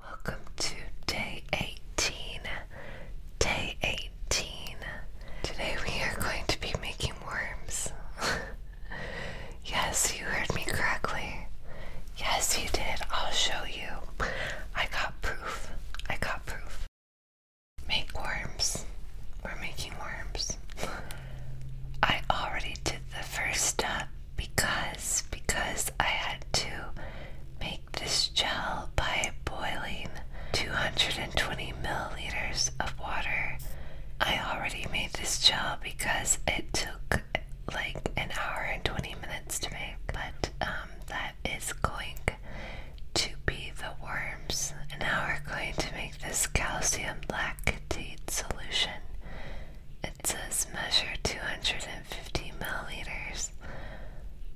Welcome to day 18. Day 18. Today we are going to be making worms. yes, you heard me correctly. Yes, you did. I'll show you. I got proof. I got proof. Make worms. We're making worms. I already did the first step because because I had to make this gel by boiling 220 milliliters of water. I already made this gel because it took like an hour and 20 minutes to make, but um, that is going to be the worms. And now we're going to make this calcium lactate solution. It says measure 250 milliliters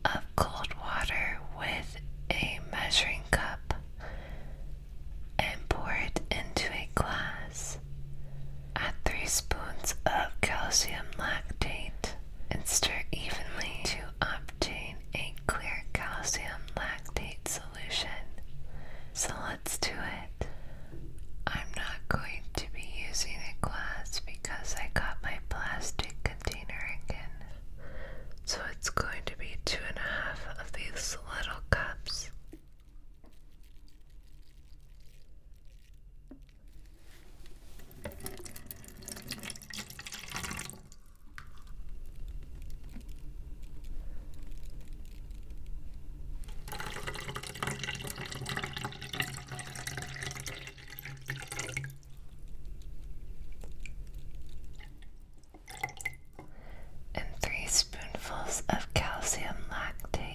of cold water with a measuring cup and pour it into a glass. Add 3 spoons of calcium lactate and stir evenly to obtain a clear calcium lactate solution. Select let's do it. I'm not going to be using a glass because I got my plastic container again. So it's going to be two and a half of these little cups and three spoonfuls of calcium lactate.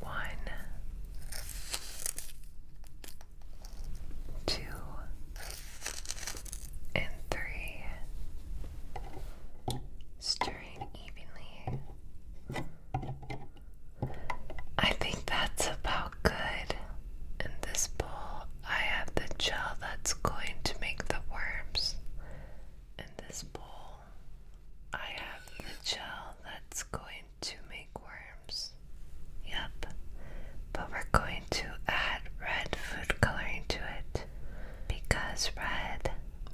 One, two, and three. Stirring evenly. I think that's about good. In this bowl, I have the gel that's going to make the worms. In this bowl, I have the gel that's going to make worms. Yep. But we're going to add red food coloring to it. Because red,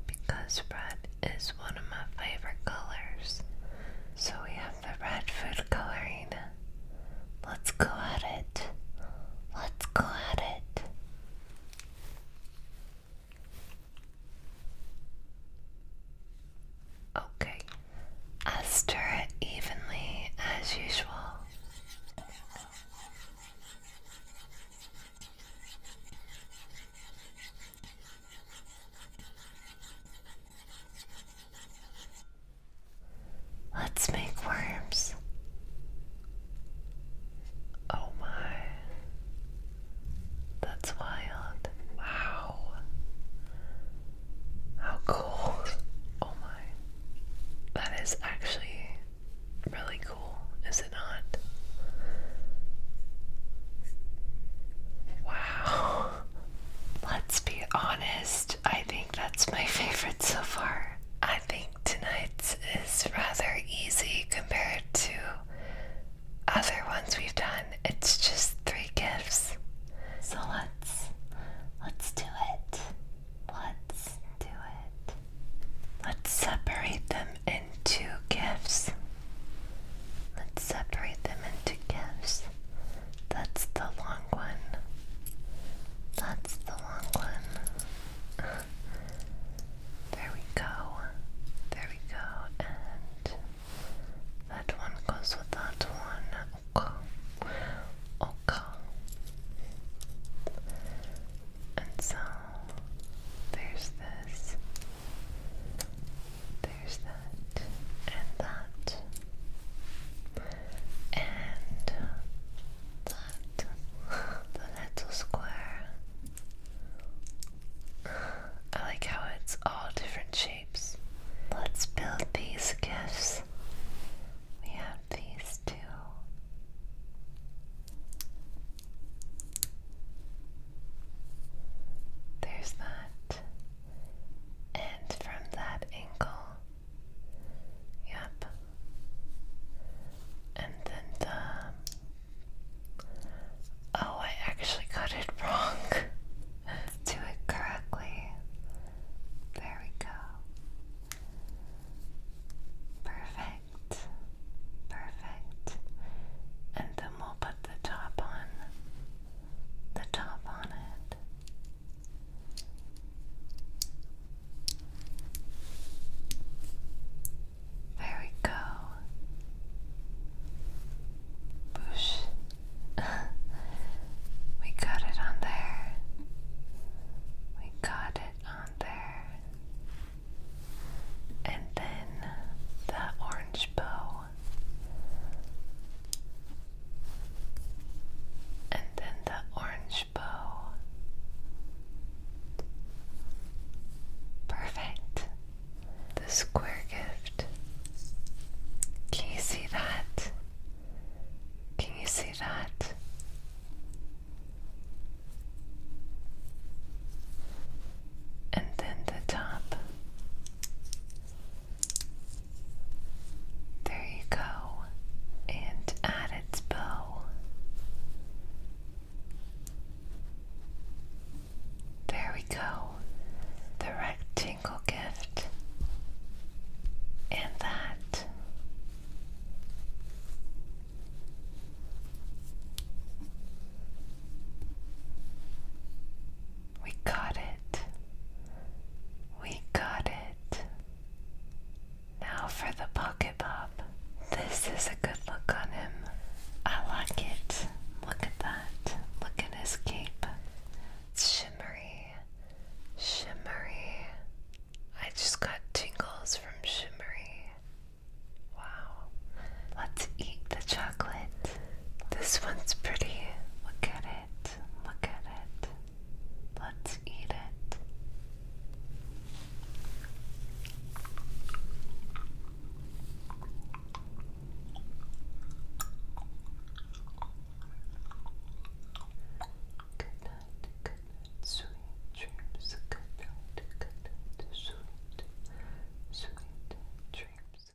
because red is one of my favorite colors. So we have the red food coloring. Let's go at it. Let's go at it. Okay, I stir it evenly as usual. Let's make worms. Oh my. That's wild. Wow. How cool. Oh my. That is actually really cool, is it not? Wow. Let's be honest. I think that's my favorite so far. I think tonight's is rather easy compared to other ones we've done. It's just three gifts. So let's let's do it. Let's do it. Let's separate them into gifts. Let's separate them into gifts. That's the long one. That's the long one. There we go. There we go. And that one goes with that one. Okay. Okay. And so there's this. There's that. And that. And the little square. I like how it's all different shapes. Let's build these gifts. We have these two. There's that. And from that angle. Yep, and then the. Oh, I actually got it wrong. do it correctly. There we go. Perfect. Perfect. And then we'll put the top on. The top on it. There we go. Push. we got it on there. We got it on there. And then the orange bow and then the orange bow. Perfect. The square gift. Can you see that? Can you see that? And then the top. There you go. And add its bow. There we go. The rectangle gift. And that. We got it. We got it. Now for the pocket pop. This is a good look on him. I like it. Look at that. Look at his cape. shimmery. Shimmery. I just got tingles from shimmery. Wow. Let's eat the chocolate. This one's pretty. Look at it. Look at it. Let's eat it. Good night, good night, sweet dreams. Good night, good sweet, sweet dreams.